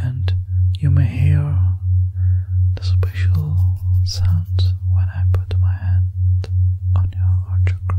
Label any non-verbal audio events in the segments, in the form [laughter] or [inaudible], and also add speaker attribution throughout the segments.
Speaker 1: and you may hear the special sounds when I put my hand on your heart chakra.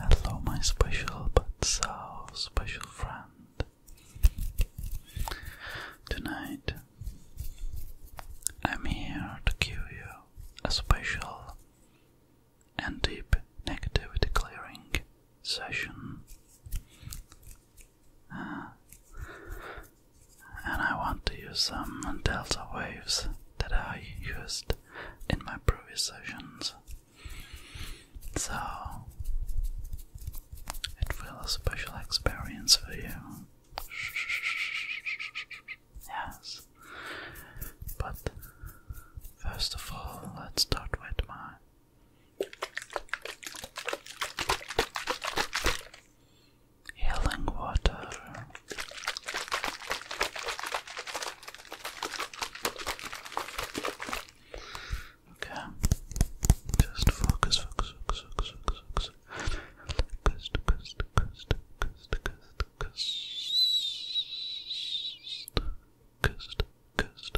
Speaker 1: Hello, my special but so special friend. Tonight, I'm here to give you a special and deep negativity clearing session. Uh, and I want to use some delta waves that I used in my previous sessions. So it will a special experience for you. Yes. But first of all, let's start with my healing water. Okay, just focus, focus, focus, focus, focus, focus. Focus, focus, focus, focus, focus, focus, focus, focus,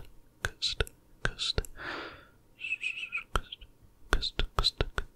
Speaker 1: focus, focus, focus, focus, focus,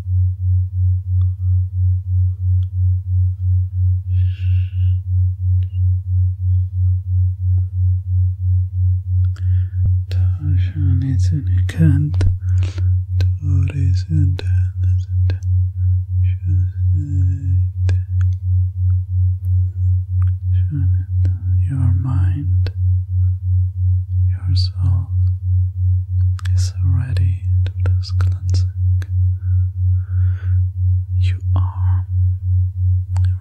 Speaker 1: Tashan is in a cant, Tor is in your mind, your soul is already need You are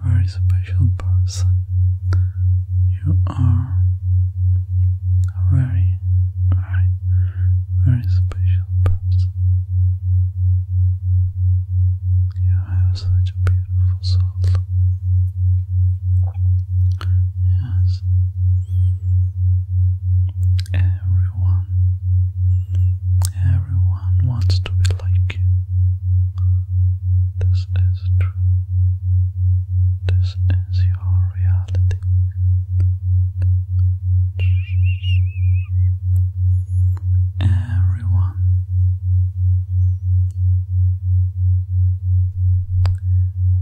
Speaker 1: a very special person. You are a very, very, very special person. You have such a beautiful soul. Yes, Everyone, everyone wants to be like you. This is true. This is your reality. Everyone,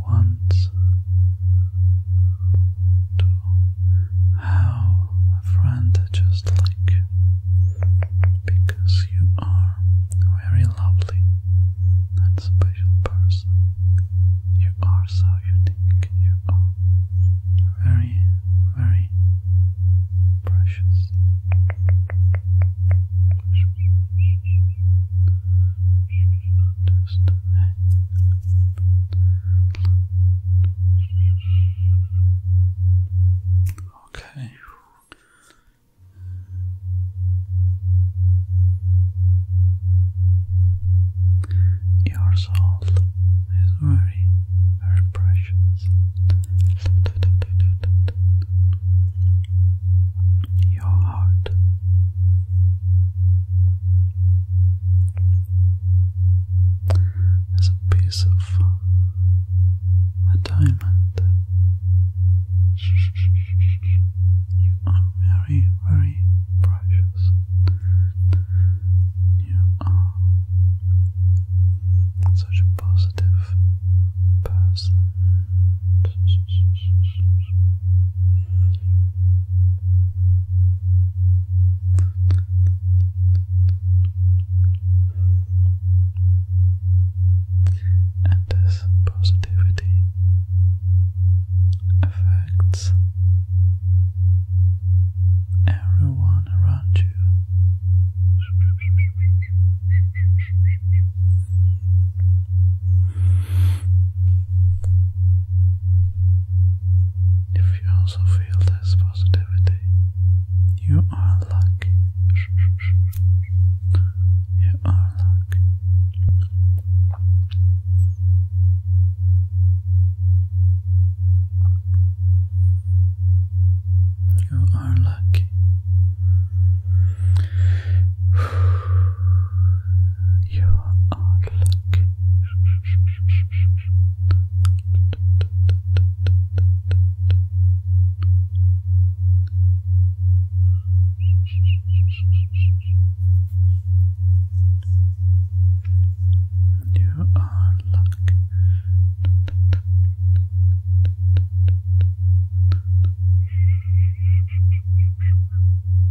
Speaker 1: once to have a friend just like you because you are very lovely and special person. You are so unique. You are very, very precious. Just Okay. Your soul is very, very precious. Your heart there's a piece of a diamond. You are very, very precious. You are such a positive person. And this positivity affects everyone around you. If you also feel this positivity, you are lucky. You are lucky. You are lucky. [sighs] You are lucky.
Speaker 2: You are lucky.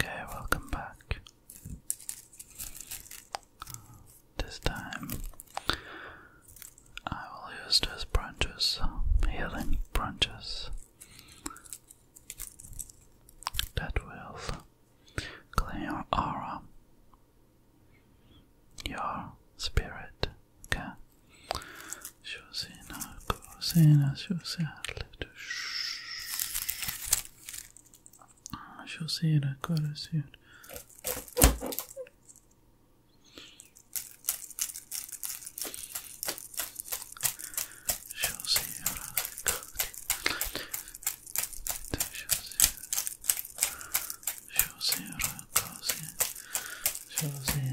Speaker 1: Okay, welcome back. This time I will use those branches, healing branches, that will clean your aura, your spirit. Okay. I shall see it, I gotta see it. Shall see it, I gotta see it. Shall see it. Shall see it, I gotta see it. Shall see it, I shall see it. Shall see it, shall see it. Shall see it, shall see it.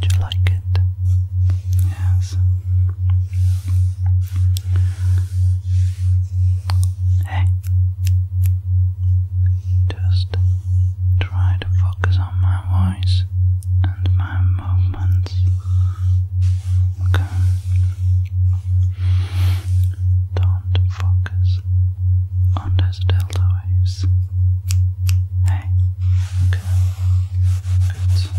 Speaker 1: Did you like it? Yes. Hey, just try to focus on my voice and my movements. Okay. Don't focus on those delta waves. Hey, okay, good.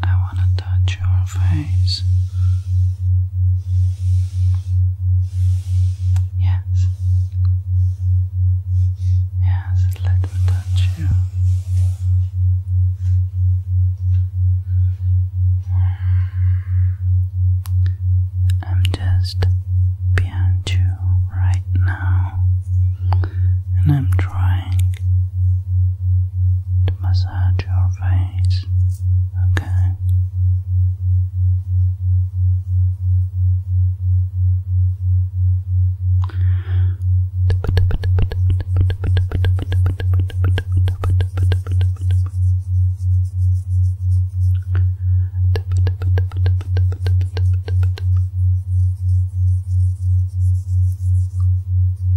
Speaker 1: I want to touch your face. Yes. Yes, let me touch you. I'm just behind you right now, and I'm trying to massage your face. Okay.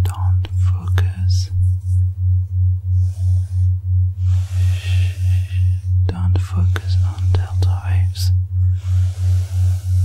Speaker 1: Don't focus. Don't focus on delta waves.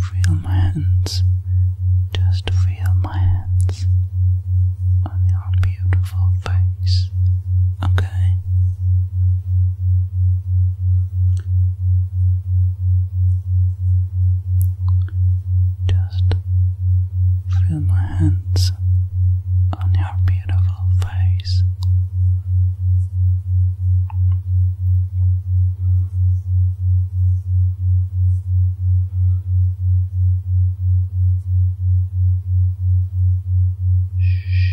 Speaker 1: Feel my hands, just feel my hands on your beautiful face. Okay. Just feel my hands on your beautiful face. Shh.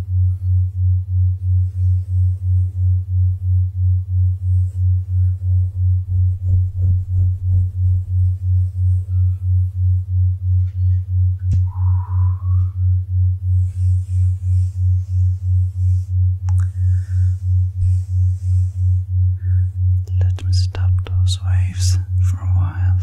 Speaker 1: Let me stop those waves for a while.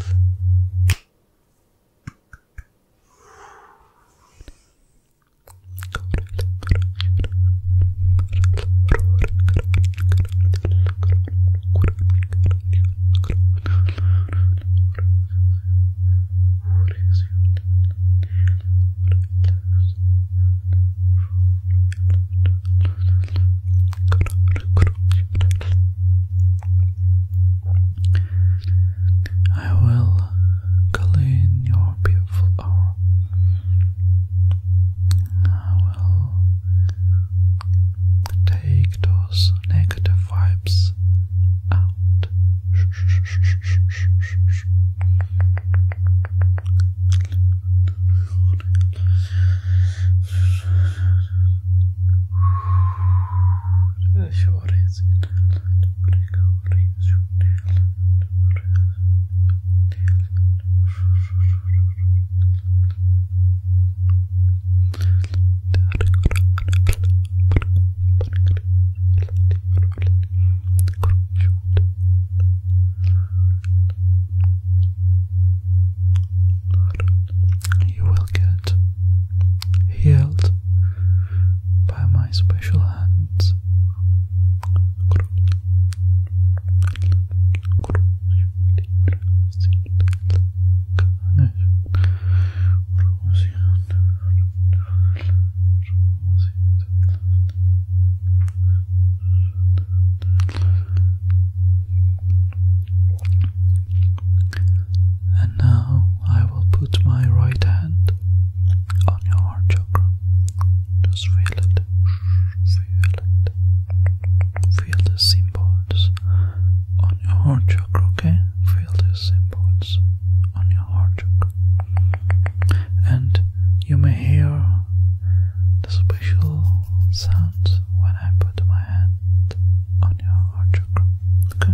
Speaker 1: I will clean your beautiful hour. I will take those negative vibes out. You will get healed by my special hands. And now I will put my right hand on your heart chakra. Just feel it, feel it, feel the symbols on your heart chakra, okay? Feel the symbols on your heart chakra. And you may hear the special sounds when I put my hand on your heart chakra, okay?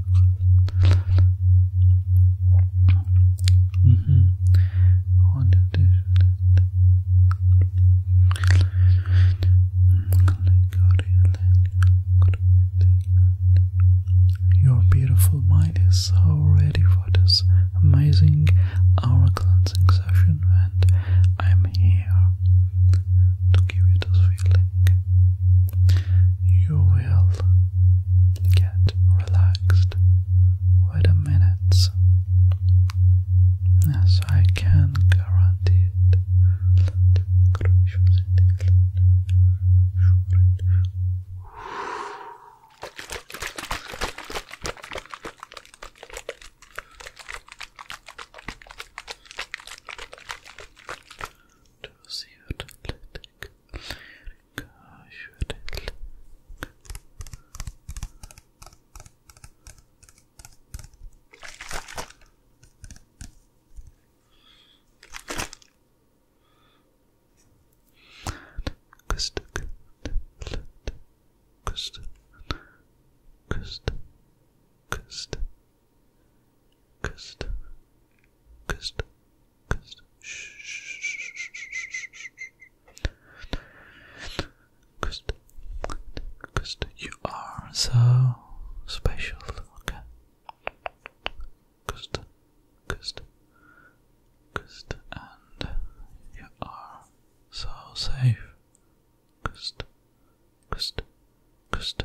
Speaker 1: Mm-hmm. Your beautiful mind is so ready for this amazing hour cleansing session, and I'm here to give you this feeling, you will get relaxed with the minutes. Yes, I can guarantee it. To see Kıstı, kıstı, kıstı, kıstı, Kust. Kust. Kust. Kust. Kust. Kust. You are so special. Okay. Kust. Kust. Kust. And you are so safe. Kust. Kust. Kust.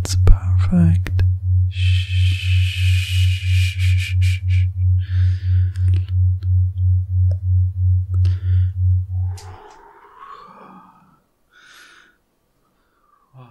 Speaker 1: It's perfect.
Speaker 2: Wow.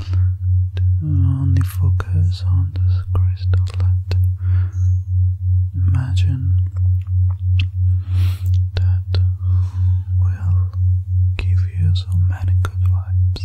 Speaker 1: only focus on this crystal light. imagine that will give you so many good vibes.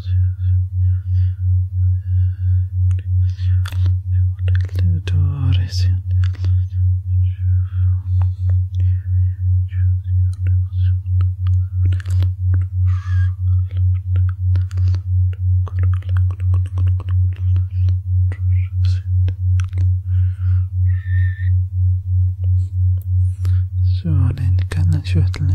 Speaker 1: so you can I shortly?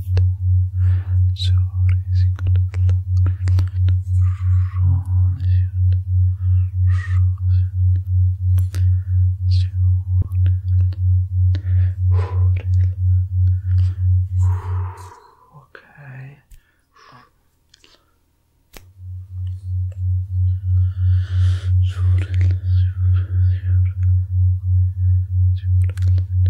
Speaker 2: Okay. Sure, sure, sure, sure,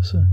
Speaker 1: Listen.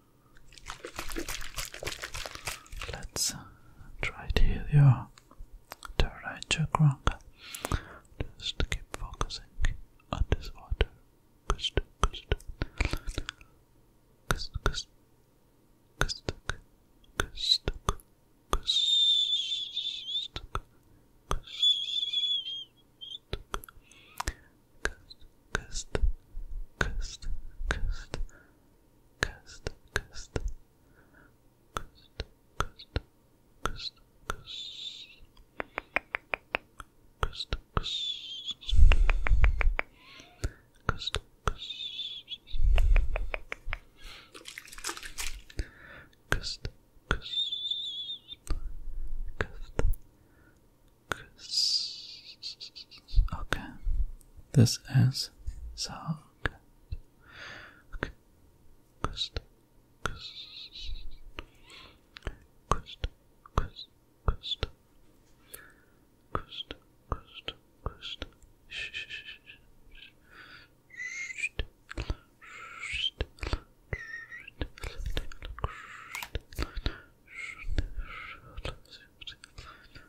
Speaker 1: Let's try to heal your third eye chakra. Just keep focusing on this water. Kust, kust, kust, kust, kust, kust, kust, kust, kust, kust, kust, Cast, cast, cast, cast, cast, cast, cast, cast, cast, cast, Okay, this is sagt.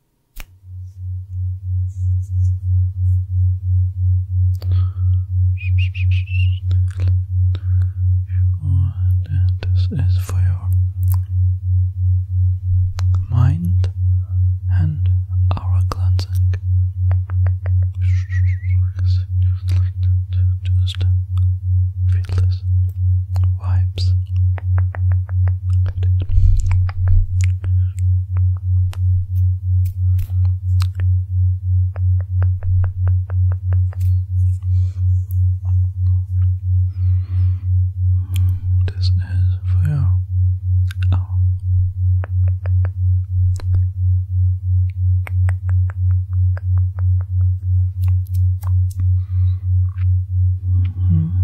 Speaker 1: And this is for your mind and aura cleansing. Just feel this vibes. Good. This is for you. -hmm.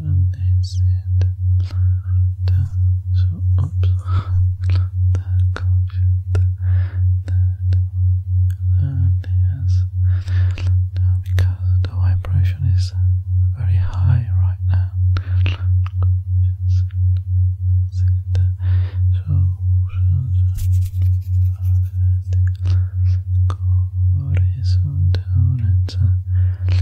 Speaker 1: and they said so oops that culture that learned has because the vibration is very high right now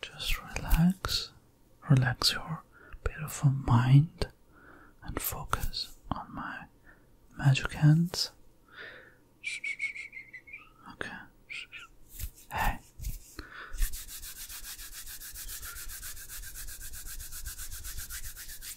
Speaker 1: Just relax, relax your beautiful mind and focus on my magic hands. Okay. Hey.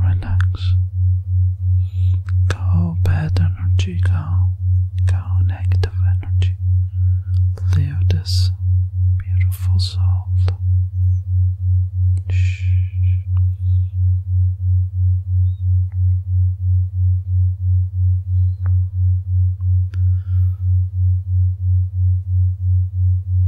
Speaker 1: relax. Go bad energy, go, go negative energy. Leave this beautiful soul. Shh.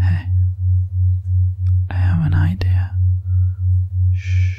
Speaker 1: Hey, I have an idea. Shh.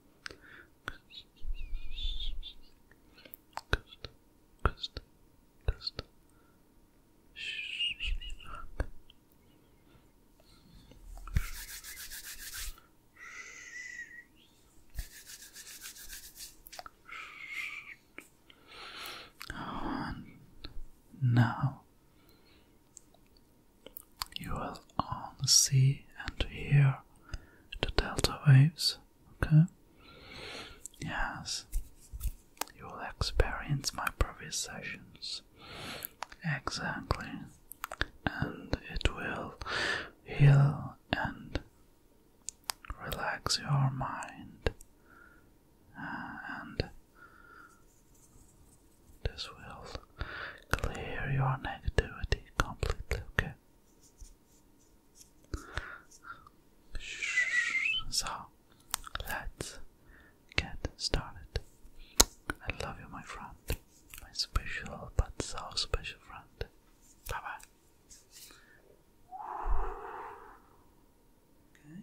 Speaker 1: Oh, and now you will only see and hear the delta waves, okay? Yes, you will experience my previous sessions. Exactly. And it will heal and relax your mind uh, and this will clear your negativity completely, okay? So, let's get started. I love you, my friend. My special but so special friend. Bye bye. Okay.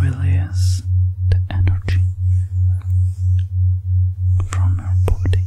Speaker 1: Release the energy from your body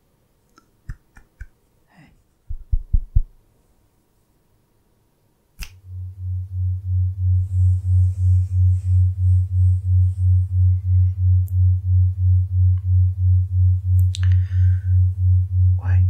Speaker 1: Hey. Wait.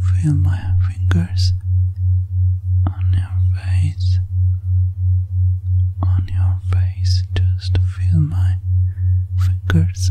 Speaker 1: Feel my fingers on your face, on your face. Just feel my fingers.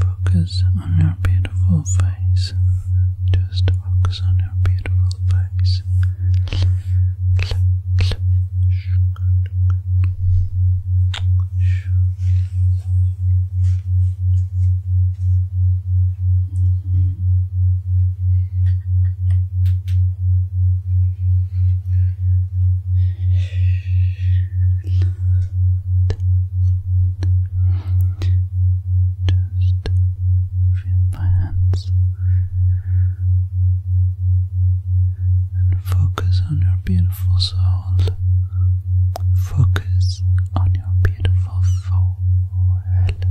Speaker 1: Focus on your beautiful face. Just focus on your beautiful face. [laughs] Just feel my hands and focus on your beautiful soul. Focus on your beautiful forehead.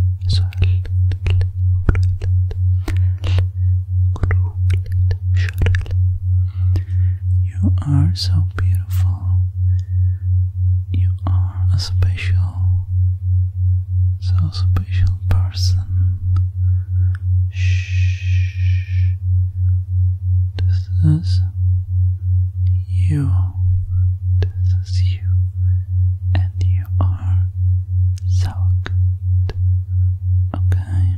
Speaker 1: You are so beautiful. You are a special, so special person. Shh. This is you. This is you. And you are so good. Okay.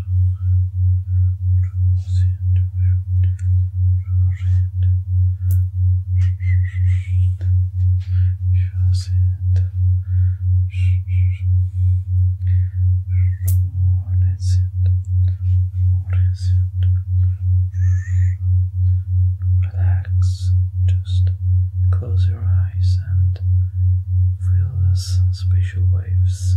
Speaker 1: Relax, just close your eyes and feel those special waves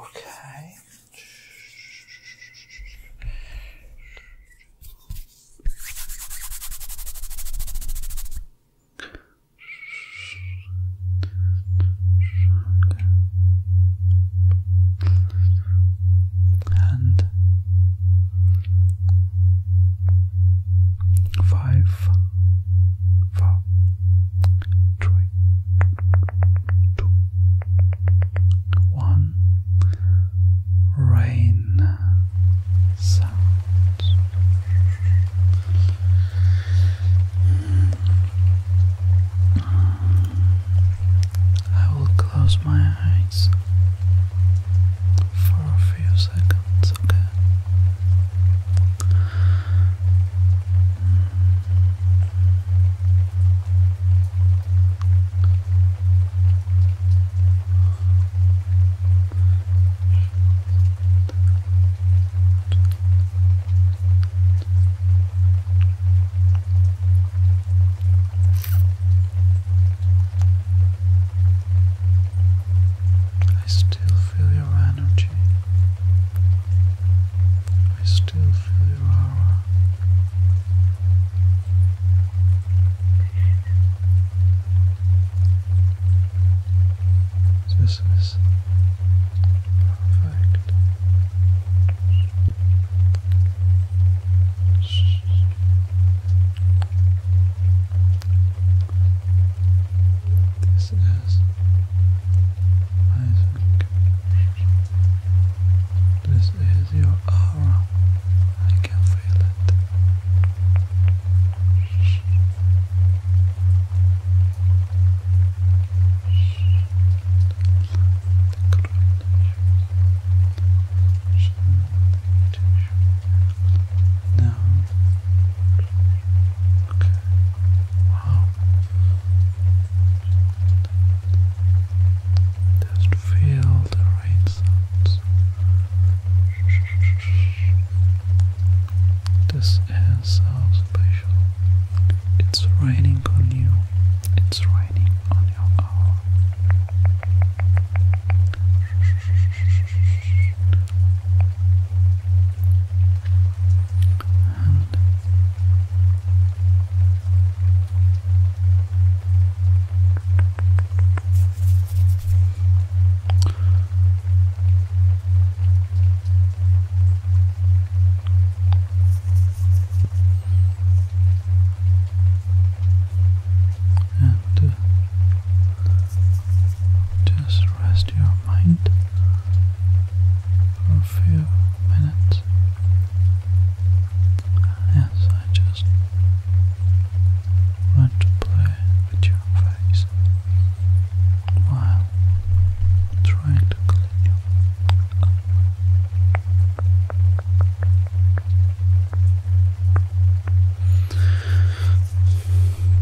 Speaker 1: Okay. And five four, three, two, one. Rain sounds. I will close my eyes for a few seconds sounds okay. I still feel your energy. I still feel your aura. This is perfect. This is I think this is your aura. I can feel it.
Speaker 2: Now just
Speaker 1: feel the rain sounds. This is special. It's raining on you. It's raining on your hour and and uh, just rest your mind for a few minutes as I just want to play with your face while trying to clean you up.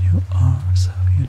Speaker 1: You are so unique.